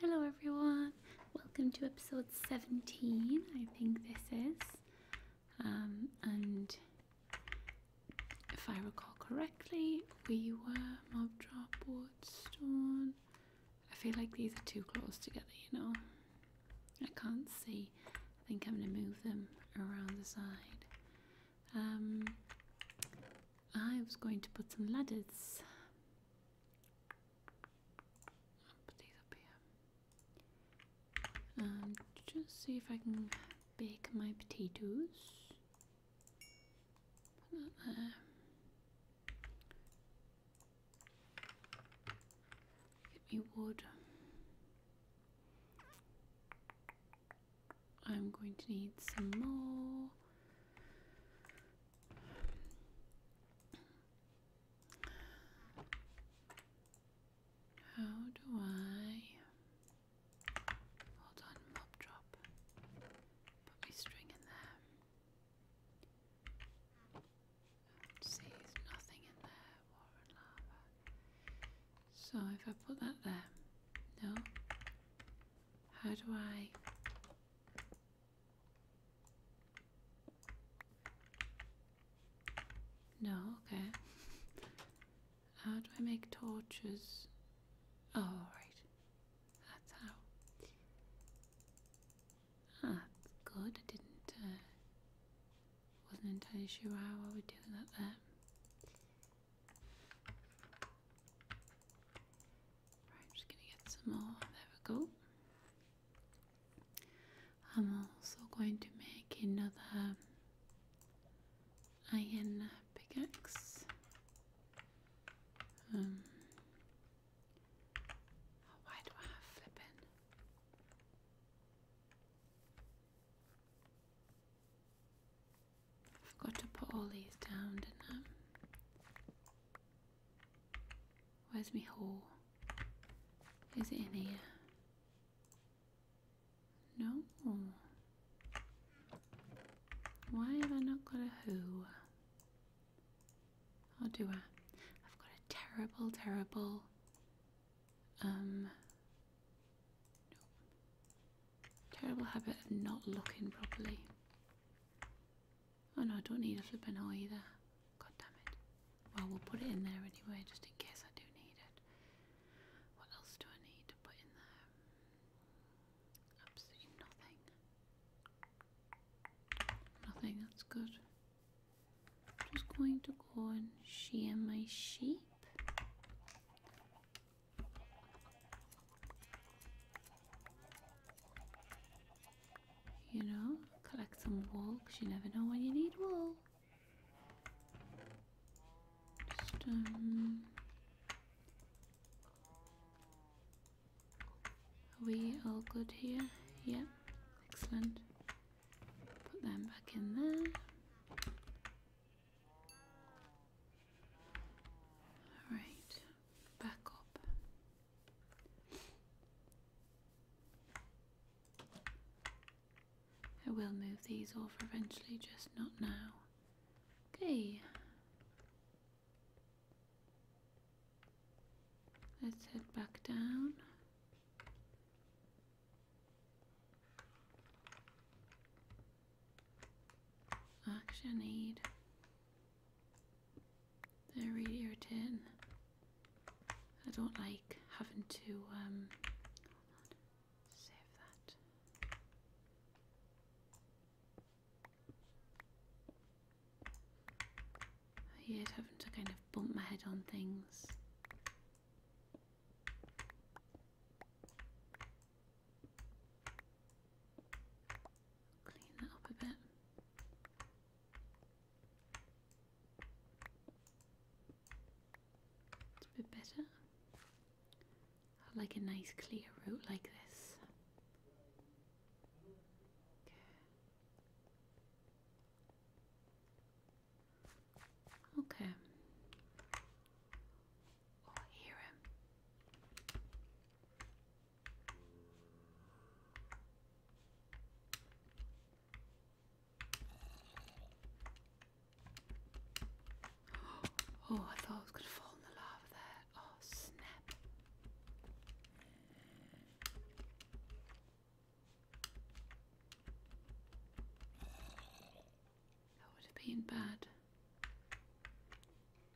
Hello, everyone. Welcome to episode 17. I think this is. Um, and if I recall correctly, we were mob drop, wood, stone. I feel like these are too close together, you know. I can't see. I think I'm going to move them around the side. Um, I was going to put some ladders Put these up here. Um, just see if I can bake my potatoes. Put that there. Get me wood. I'm going to need some more. How do I hold on mob drop? Put my string in there. See, there's nothing in there. Water lava. So if I put that there, no. How do I no, okay. How do I make torches? Oh, right. That's how. that's ah, good. I didn't, uh, wasn't entirely sure how I would do that there. Right, just gonna get some more. There we go. I'm also going to make another iron pickaxe. Um, why do I have flipping? I forgot to put all these down, Where's my hole? Is it in here? No. Why have I not got a who? Or do I? I've got a terrible, terrible. Um. Terrible habit of not looking properly. Oh no, I don't need a flipping hole either. God damn it. Well, we'll put it in there anyway, just in case I do need it. What else do I need to put in there? Absolutely nothing. Nothing, that's good. I'm just going to go and shear my sheep. You know, collect some wool because you never know when you need wool. Just, um, are we all good here? Yeah, excellent. Put them back in there. All right back up. I will move these off eventually, just not now. Okay. Let's head back down. Actually, need they're really irritating. I don't like having to um, save that. I hate having to kind of bump my head on things. Clean that up a bit. It's a bit better. like a nice clear route like this. Okay. Oh, I hear him. Oh, I thought I was going to fall in the lava there. Oh, snap. That would have been bad.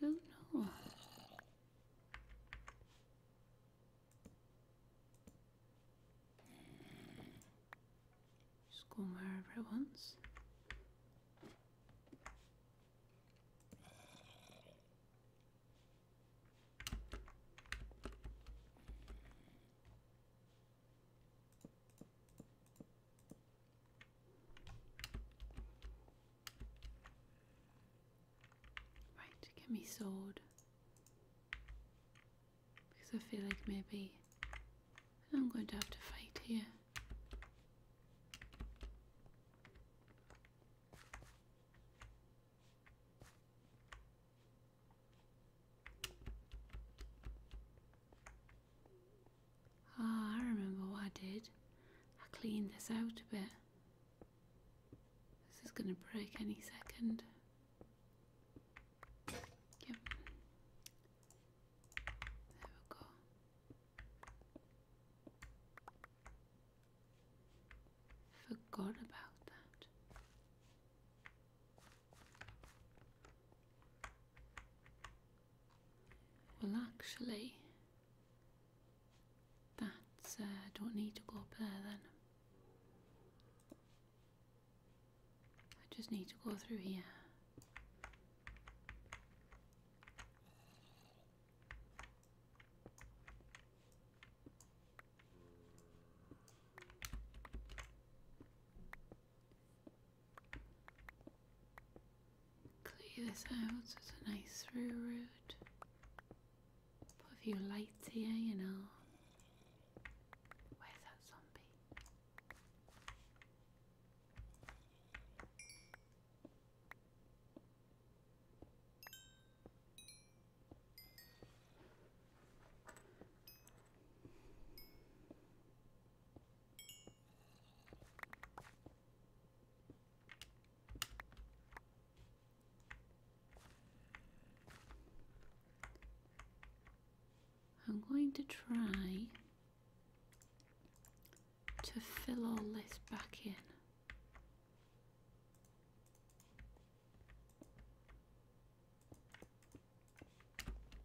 I don't know. Just go wherever it wants. Right, get me sword. Because I feel like maybe I'm going to have to fight here. Ah, I remember what I did. I cleaned this out a bit. This is gonna break any second. Yep. There we go. Forgot about that. Well, actually, that uh, don't need to go up there then. I just need to go through here clear this out It's a nice through route. Put a few lights here, you know. Where's that zombie? I'm going to try to fill all this back in.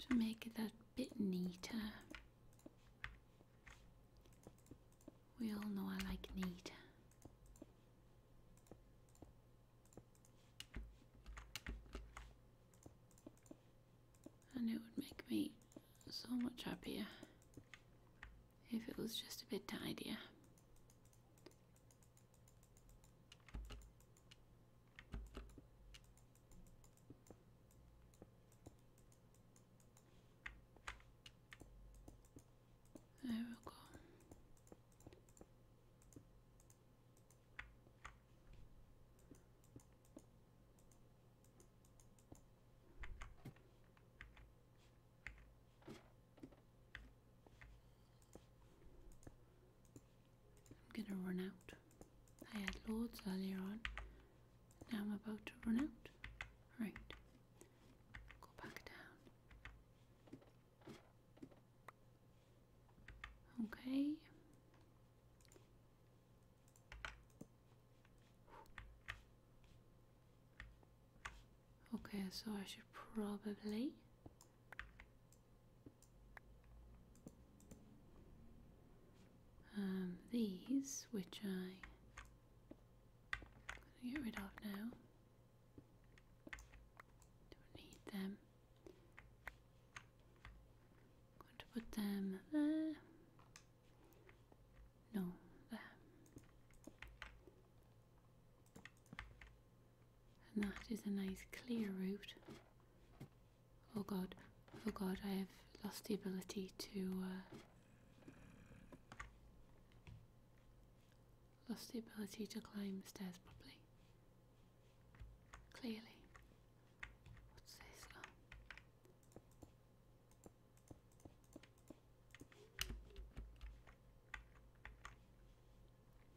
To make it a bit neater. We all know I like neat. And it would make me so much happier if it was just a bit tidier. There we go. I'm gonna run out. I had lords earlier on. Now I'm about to run out. Right, Go back down. Okay. Okay, so I should probably um, these, which I get rid of now. Don't need them. going to put them there. No, there. And that is a nice clear route. Oh god, oh god, I have lost the ability to. Uh, Lost the ability to climb stairs properly. Clearly. What's this? Oh.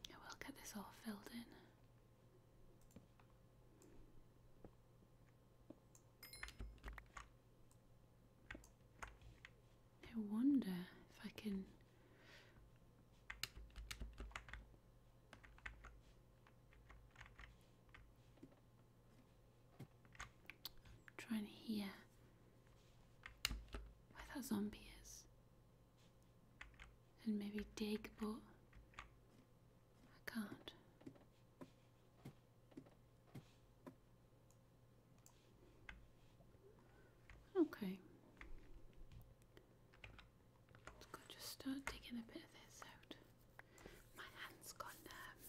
will get this all filled in. I wonder if I can. try and hear where that zombie is. And maybe dig, but I can't. Okay. just start taking a bit of this out. My hand gone um,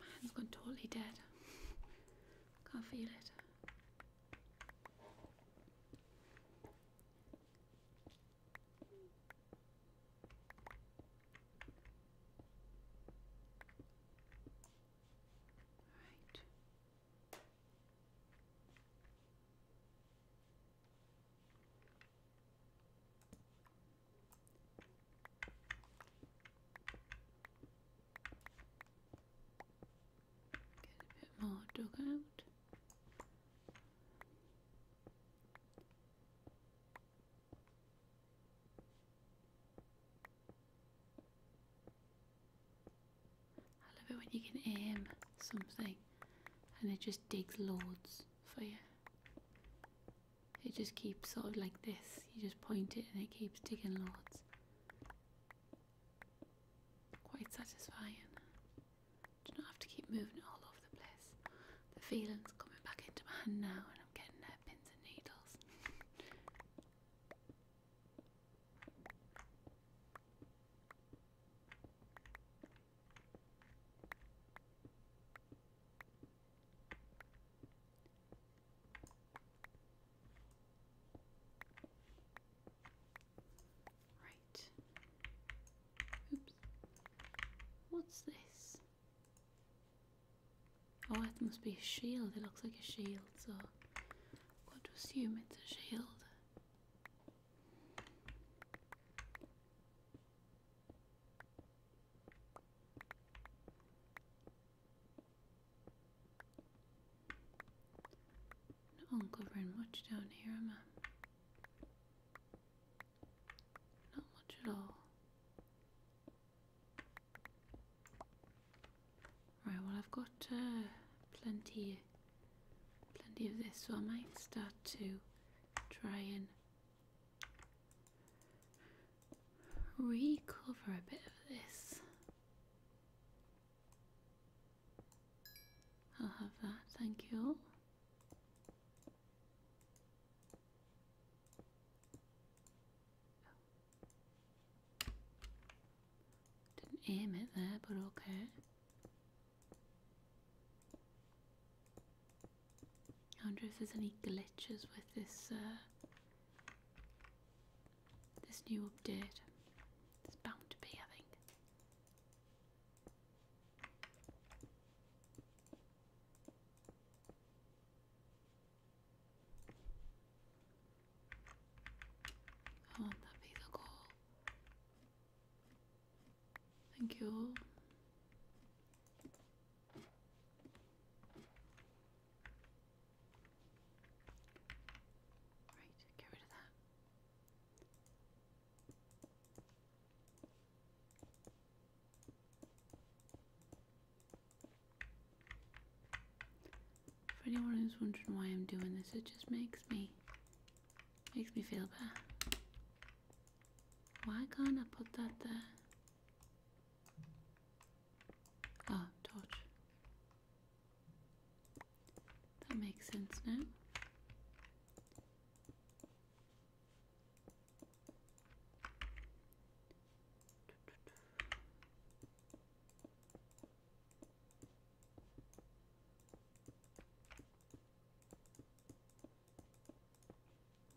my hand gone totally dead. Can't feel it. Right. Get a bit more dug out. I love it when you can aim something and it just digs loads for you. It just keeps sort of like this. You just point it and it keeps digging loads. Quite satisfying. Do not have to keep moving all over the place the feeling's coming back into my hand now, and I'm getting their pins and needles. Right. Oops. What's this? Oh, it must be a shield. It looks like a shield, so I've got to assume it's a shield. Not uncovering much down here, am not much at all. Right, well I've got uh, plenty, plenty of this, so I might start to try and recover a bit of this. I'll have that, thank you didn't aim it there, but okay. I wonder if there's any glitches with this uh, this new update. It's bound to be, I think. Oh, that'd be the goal. Thank you. Right, get rid of that. For anyone who's wondering why I'm doing this, it just makes me makes me feel better. Why can't I put that there? Oh, torch. That makes sense now.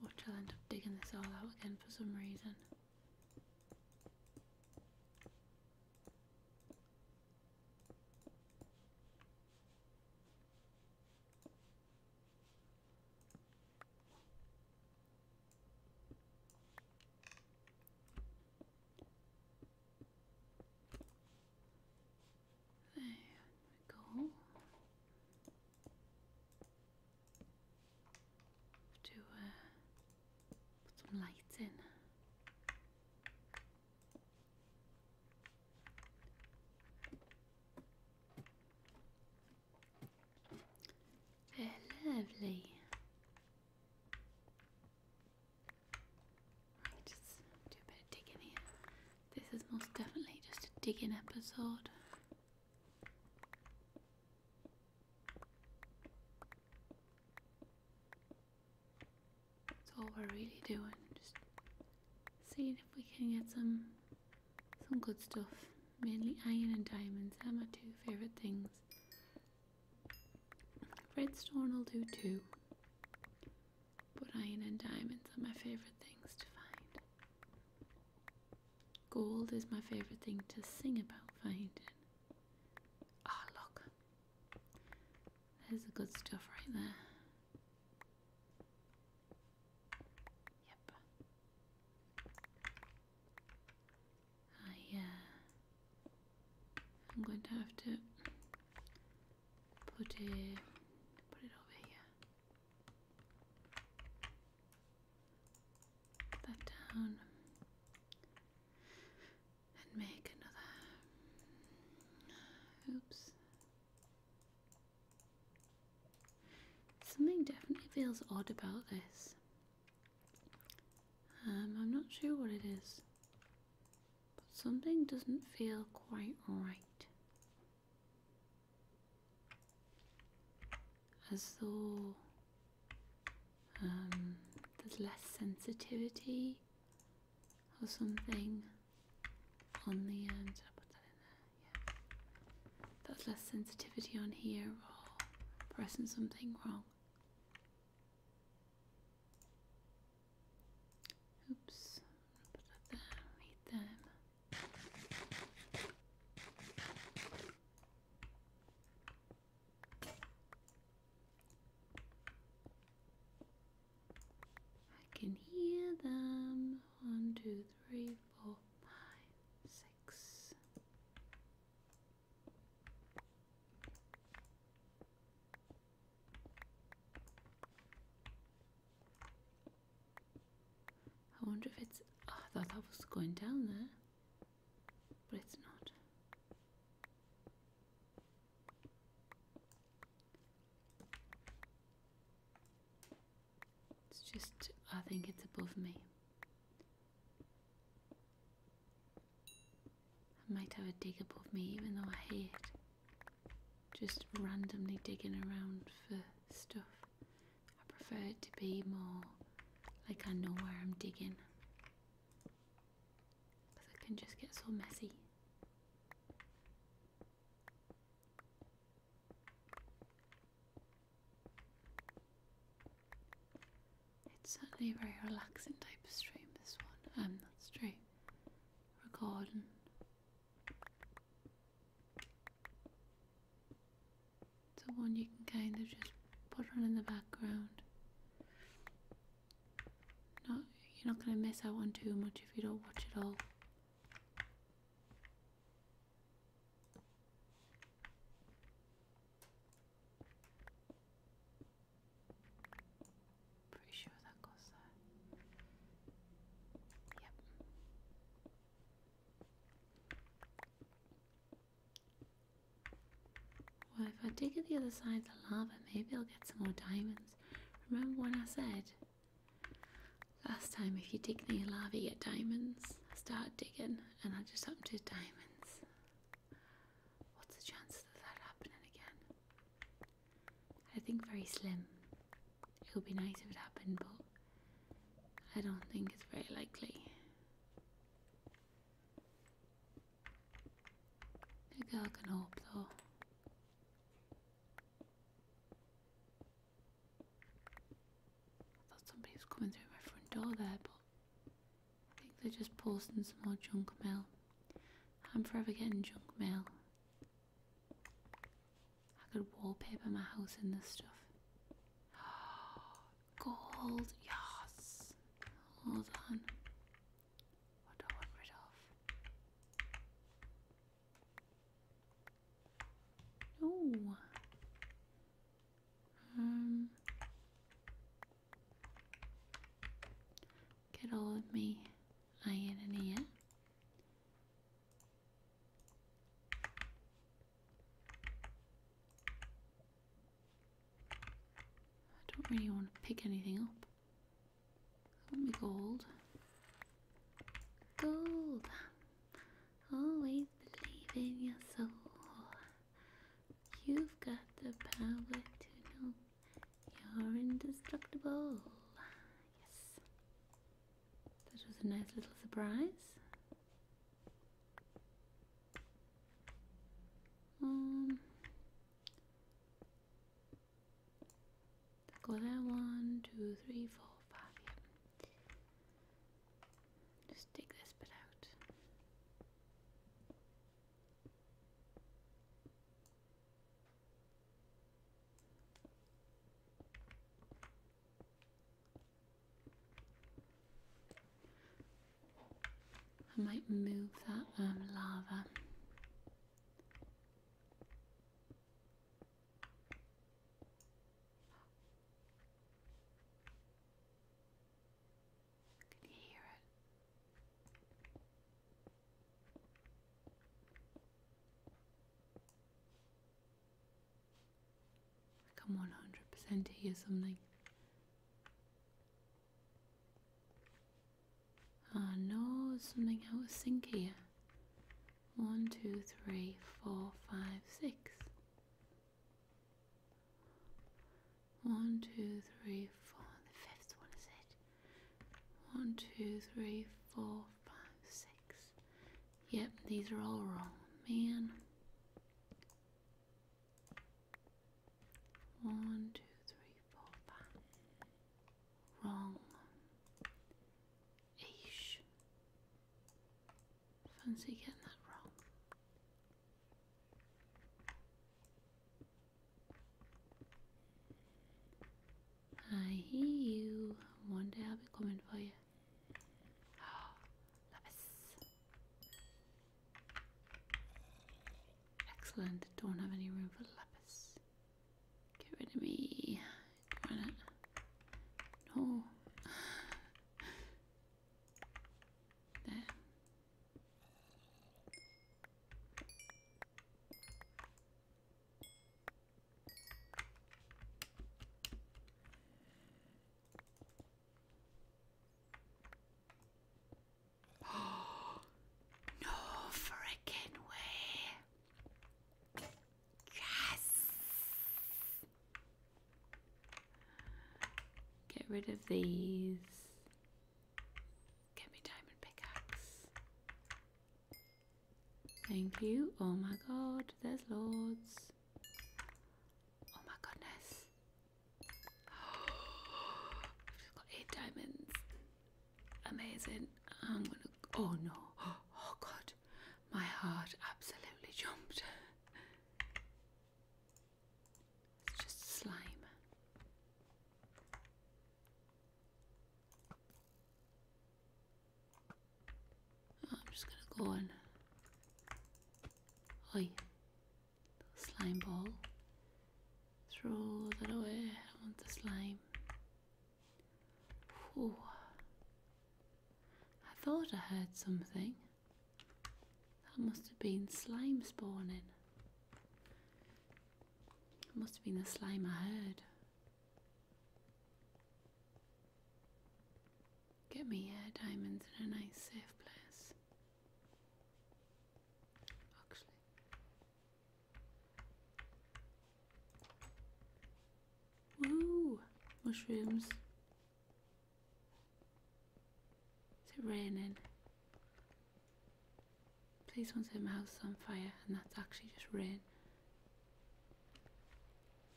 Watch, I'll end up digging this all out again for some reason. There we go. Have to uh, put some light in. They're lovely. just do a bit of digging here. This is most definitely just a digging episode. That's all we're really doing, just seeing if we can get some some good stuff, mainly iron and diamonds. They're my two favourite things. Redstone will do too, but iron and diamonds are my favourite things to find. Gold is my favourite thing to sing about finding. Ah, look. There's the good stuff right there. Yep. I, uh, I'm going to have to put it, put it over here. Put that down and make another. Oops. Something definitely feels odd about this. Um, I'm not sure what it is, but something doesn't feel quite right. As though um, there's less sensitivity or something on the end, um, I put that in there? Yeah. That's less sensitivity on here or pressing something wrong. Oops, put that there, read them. I can hear them. One, two, three, four, five, six. I wonder if it's. Ah, I thought that was going down there, but it's not. It's just, I think it's above me. I might have a dig above me, even though I hate just randomly digging around for stuff. I prefer it to be more like I know where I'm digging. Because it can just get so messy. It's certainly a very relaxing type of stream, this one. Um, not stream. Recording. It's a one you can kind of just put on in the background. Not, you're not going to miss out on too much if you don't watch it all. Pretty sure that goes there. Yep. Well, if I dig at the other side of the lava, maybe I'll get some more diamonds. Remember what I said Last time, if you dig near larvae, you get diamonds. Start digging and I just happened to diamonds. What's the chances of that happening again? I think very slim. It would be nice if it happened, but I don't think it's very likely. A girl can hope, though. I thought somebody was coming through my front door there, but I think they're just posting some more junk mail. I'm forever getting junk mail. I could wallpaper my house in this stuff. Gold, yes. Hold on. What do I want rid of? No. Um. Get all of me iron in here. I don't really want to pick anything up. Only gold. Gold. Always believe in your soul. You've got the power to know you're indestructible. Yes. That was a nice little surprise. Um, go there one, two, three, four, five. Yeah. Just take this bit out. I might move that um, lava. Can you hear it? I'm one hundred percent hear something. Oh no, something out of sync here. One, two, three, four, five, six. One, two, three, four. The fifth one is it. One, two, three, four, five, six. Yep, these are all wrong. Man. One, two, three, four, five wrong. Eesh. Fancy getting that wrong. I hear you. One day I'll be coming for you. lapis. Excellent. Don't have any room for lapis. Get rid of me. No. There. no freaking way. Yes! Get rid of these. Get me diamond pickaxe. Thank you. Oh my god, there's loads. Oh my goodness. I've got eight diamonds amazing. Oh no! Oh god, my heart absolutely jumped. It's just slime. I'm just gonna go on. Oi, slime ball. Throw that away. I want the slime. Whew. I thought I heard something. That must have been slime spawning. It must have been the slime I heard. Get me uh, diamonds in a nice safe place. Actually, Woo! Mushrooms. Is it raining? Please don't say my house is on fire and that's actually just rain.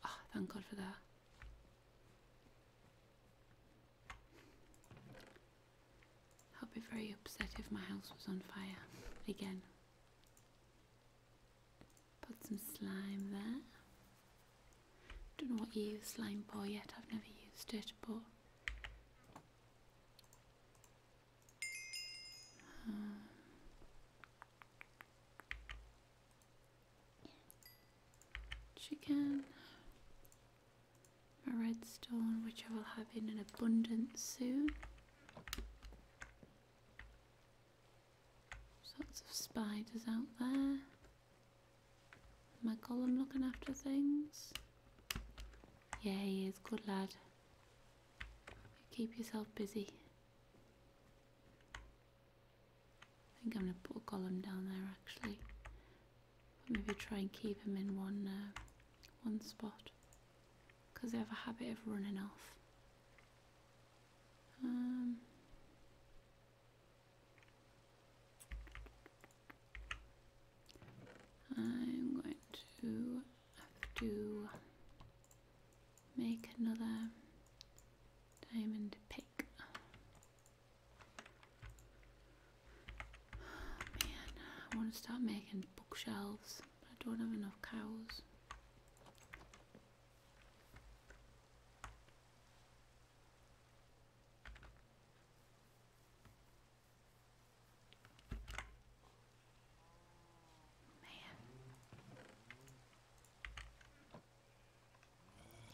Oh, thank God for that. I'd be very upset if my house was on fire again. Put some slime there. Don't know what you use slime for yet, I've never used it, but. Um, chicken, my redstone, which I will have in an abundance soon. Lots of spiders out there. My column looking after things. Yeah, he is. Good lad. Keep yourself busy. I think I'm going to put a column down there actually. maybe try and keep him in one, uh, one spot because they have a habit of running off. Um, I'm going to have make another diamond pick. man, I want to start making bookshelves. I don't have enough cows.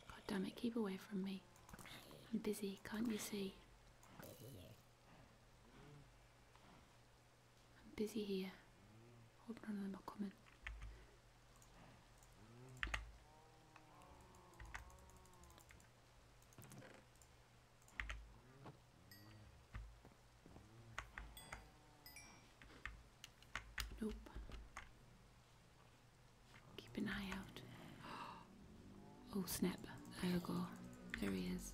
God damn it, keep away from me. I'm busy, can't you see? I'm busy here. Hope none of them are coming. Nope. Keep an eye out. Oh snap, there you go. There he is.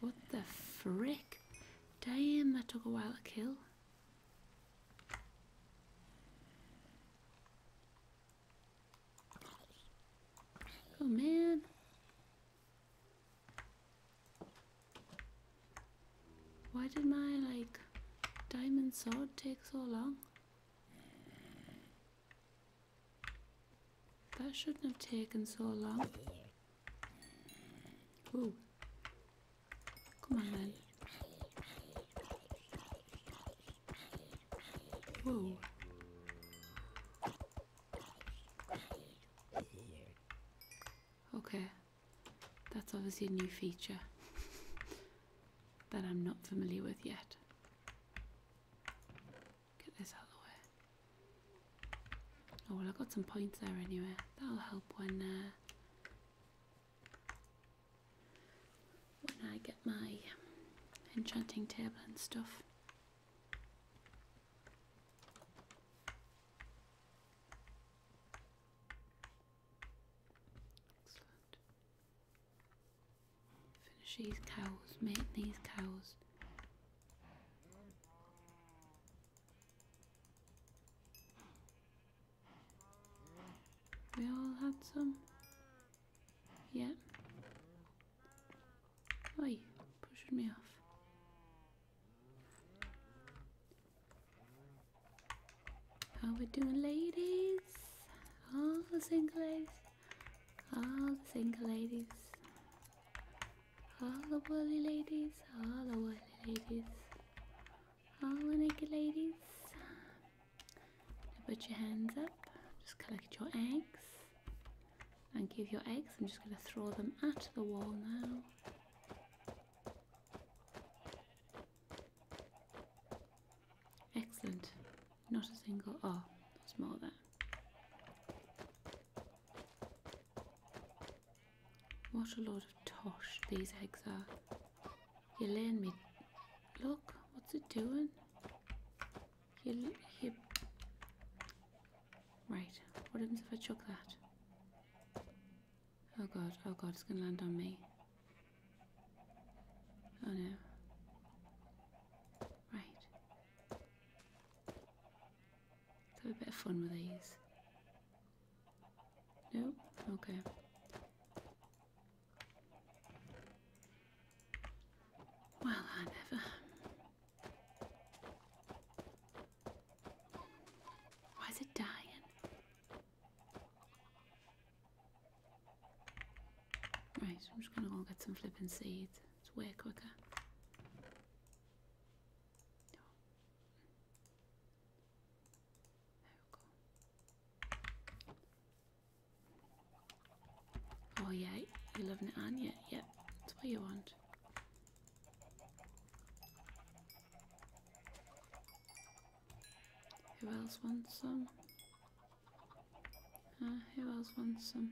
What the frick? Damn, that took a while to kill. Oh man. Why did my like diamond sword take so long? That shouldn't have taken so long. Oh, Come on then. Okay. That's obviously a new feature that I'm not familiar with yet. Get this out of the way. Oh, well, I got some points there anyway. That'll help when uh, when I get my enchanting table and stuff. Finish these cows, mate these cows. We all had some? Yeah. Oi, pushing me off. How we doing, ladies? All the single ladies, all the single ladies, all the woolly ladies, all the woolly ladies, all the naked ladies. put your hands up. Just collect your eggs and give your eggs. I'm just going to throw them at the wall now. Excellent. Not a single. Oh, there's more there. What a lot of tosh these eggs are. You're laying me. Look, what's it doing? you. Right, what happens if I chuck that? Oh god, oh god, it's gonna land on me. Oh no. Right. have a bit of fun with these. Nope, okay. Well, I never. Why is it dying? Right, I'm just gonna go get some flippin' seeds. It's way quicker. Oh. yeah, you're loving it, aren't Yep, yeah, that's what you want. Who else wants some? Uh, who else wants some?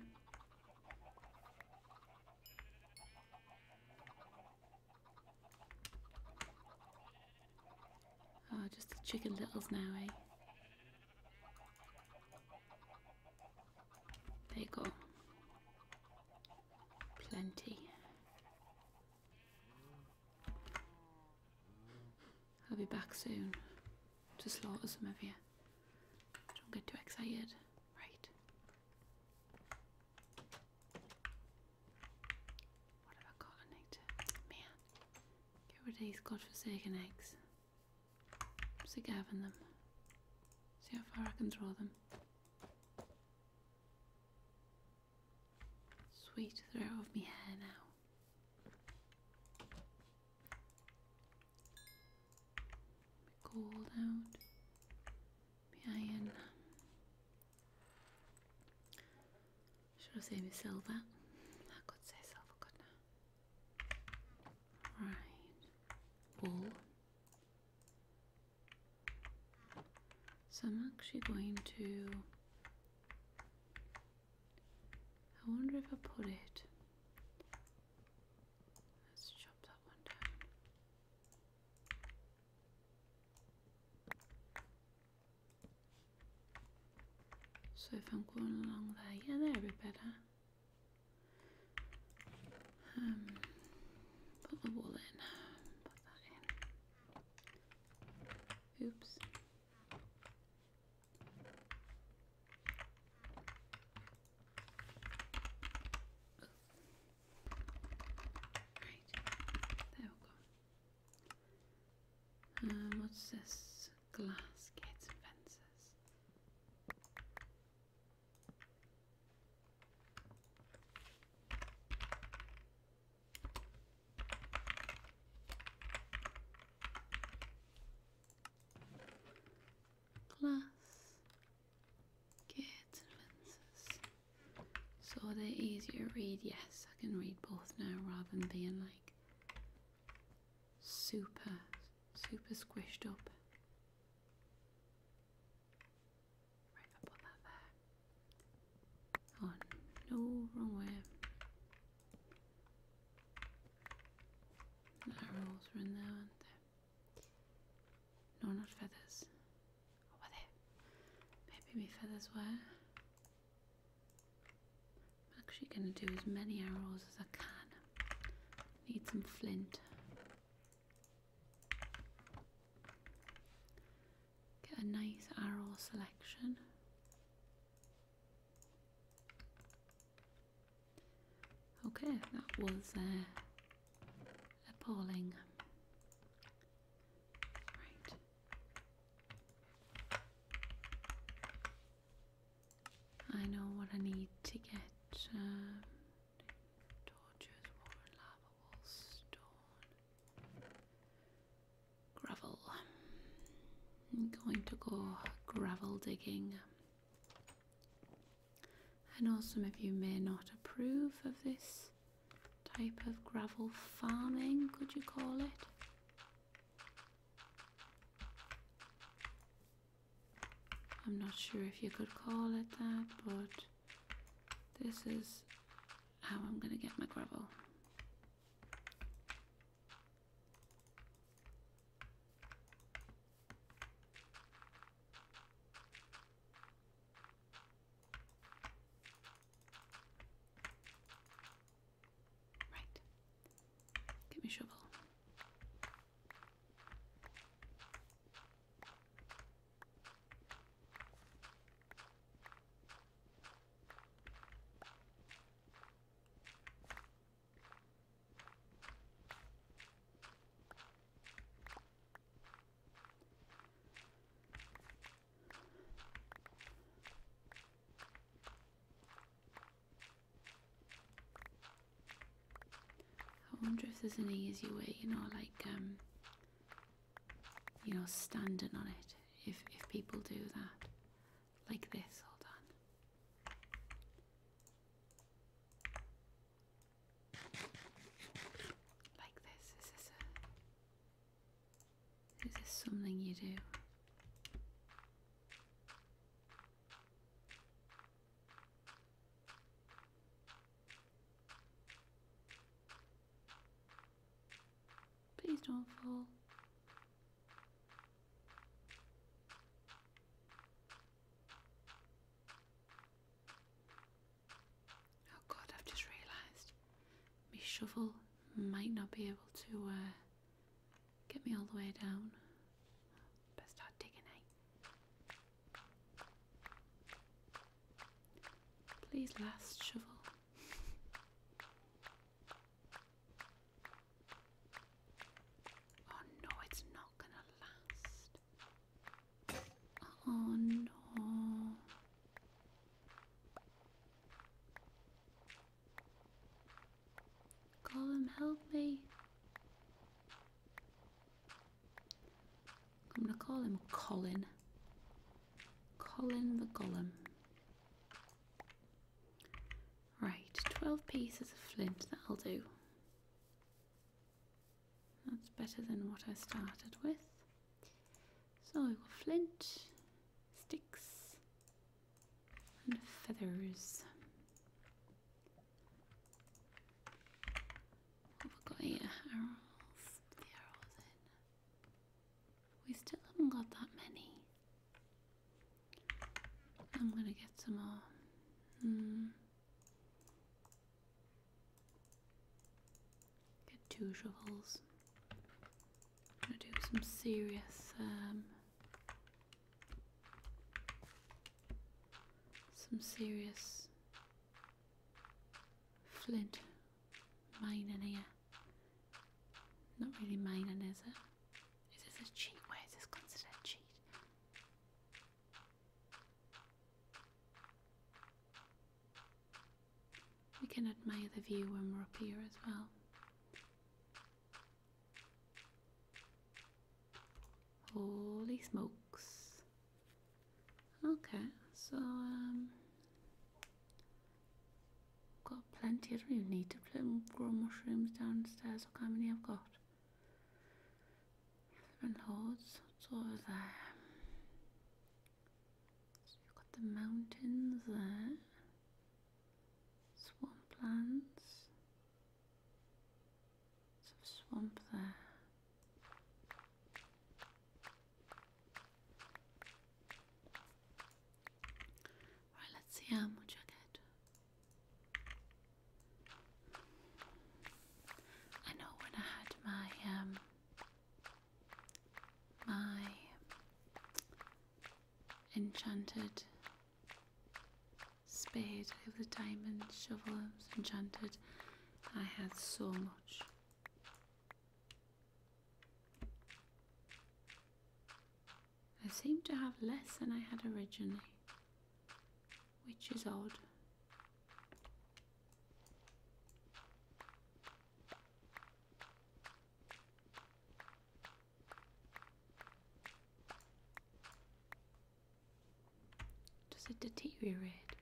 oh, just the chicken littles now, eh? There you go. Plenty. I'll be back soon to slaughter some of you. Don't get too excited. Right. What have I got an egg to? Man. Get rid of these godforsaken eggs. Stick having them. See how far I can throw them. Sweet, throw of me hair now. gold out. My iron. Should I say my silver? I could say silver, could I? Right. Wool. So I'm actually going to. I wonder if I put it. Let's chop that one down. So if I'm going along there, yeah, that would be better. Um, put the wool in. Put that in. Oops. Right. There we go. Um, what's this? Glass gates and fences glass gates and fences so they're easier to read yes I can read both now rather than being like super super squished up Right, I'll that there. Oh no, wrong way. Arrows are in there, aren't they? No, not feathers. What were Maybe my feathers were. I'm actually going to do as many arrows as I can. Need some flint. Get a nice arrow selection. Okay, that was uh, appalling. Right. I know what I need to get. Um, Gravel. I'm going to go gravel digging. I know some of you may not approve of this type of gravel farming, could you call it? I'm not sure if you could call it that, but this is how I'm going to get my gravel. Right. Give me shovel. I wonder if there's an easy way, you know, like um you know, standing on it if, if people do that. Like this, hold on. Like this, is this a... Is this something you do? Please don't fall. Oh god, I've just realised my shovel might not be able to uh, get me all the way down. Best start digging, eh? Please last shovel. oh no, it's not gonna last. Oh no. Gollum, help me. I'm gonna call him Colin. Colin the Gollum. Right, 12 pieces of flint, that'll i do. That's better than what I started with. So we've got flint, sticks, and feathers. We've got eight arrows. We still haven't got that many. I'm gonna get some more. Mm. Get two shovels. I'm gonna do some serious, um, some serious Flint mining here. Not really mining, is it? Is this a cheat? Where is this considered cheat? We can admire the view when we're up here as well. Holy smokes. Okay, so um, got plenty. I don't even need to grow mushrooms downstairs. Look how many I've got. Living hordes. So you've got the mountains there. Swamplands. Some swamp there. Right, let's see how much I get. I know when I had my um my enchanted spade with the diamond shovel enchanted I had so I seem to have less than I had originally, which is odd. Does it deteriorate?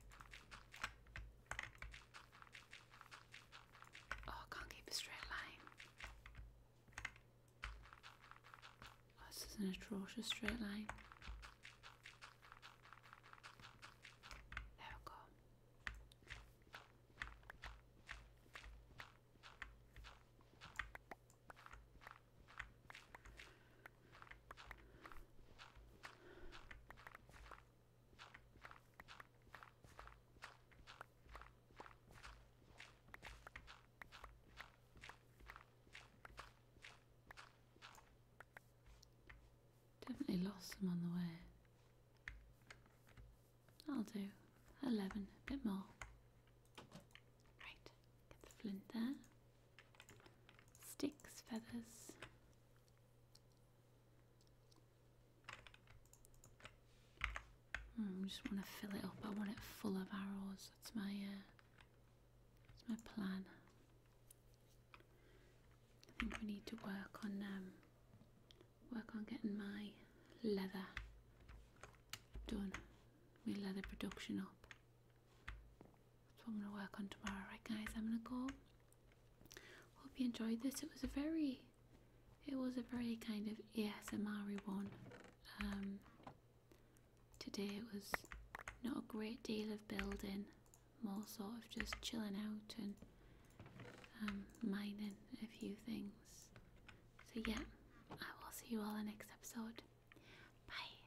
Oh, I can't keep a straight line. Oh, this is an atrocious straight line. There we go. Definitely lost some on the way. I'll do 11, a bit more. Right, get the flint there. Sticks, feathers. Hmm, I just want to fill it up. I want it full of arrows. That's my uh, that's my plan. I think we need to work on um, work on getting my leather done. My leather production up. That's what I'm going to work on tomorrow. Right, guys, I'm going to go. Hope you enjoyed this. It was a very, it was a very kind of ASMR one. Um, today it was not a great deal of building, more sort of just chilling out and um, mining a few things. So yeah, I will see you all in the next episode. Bye.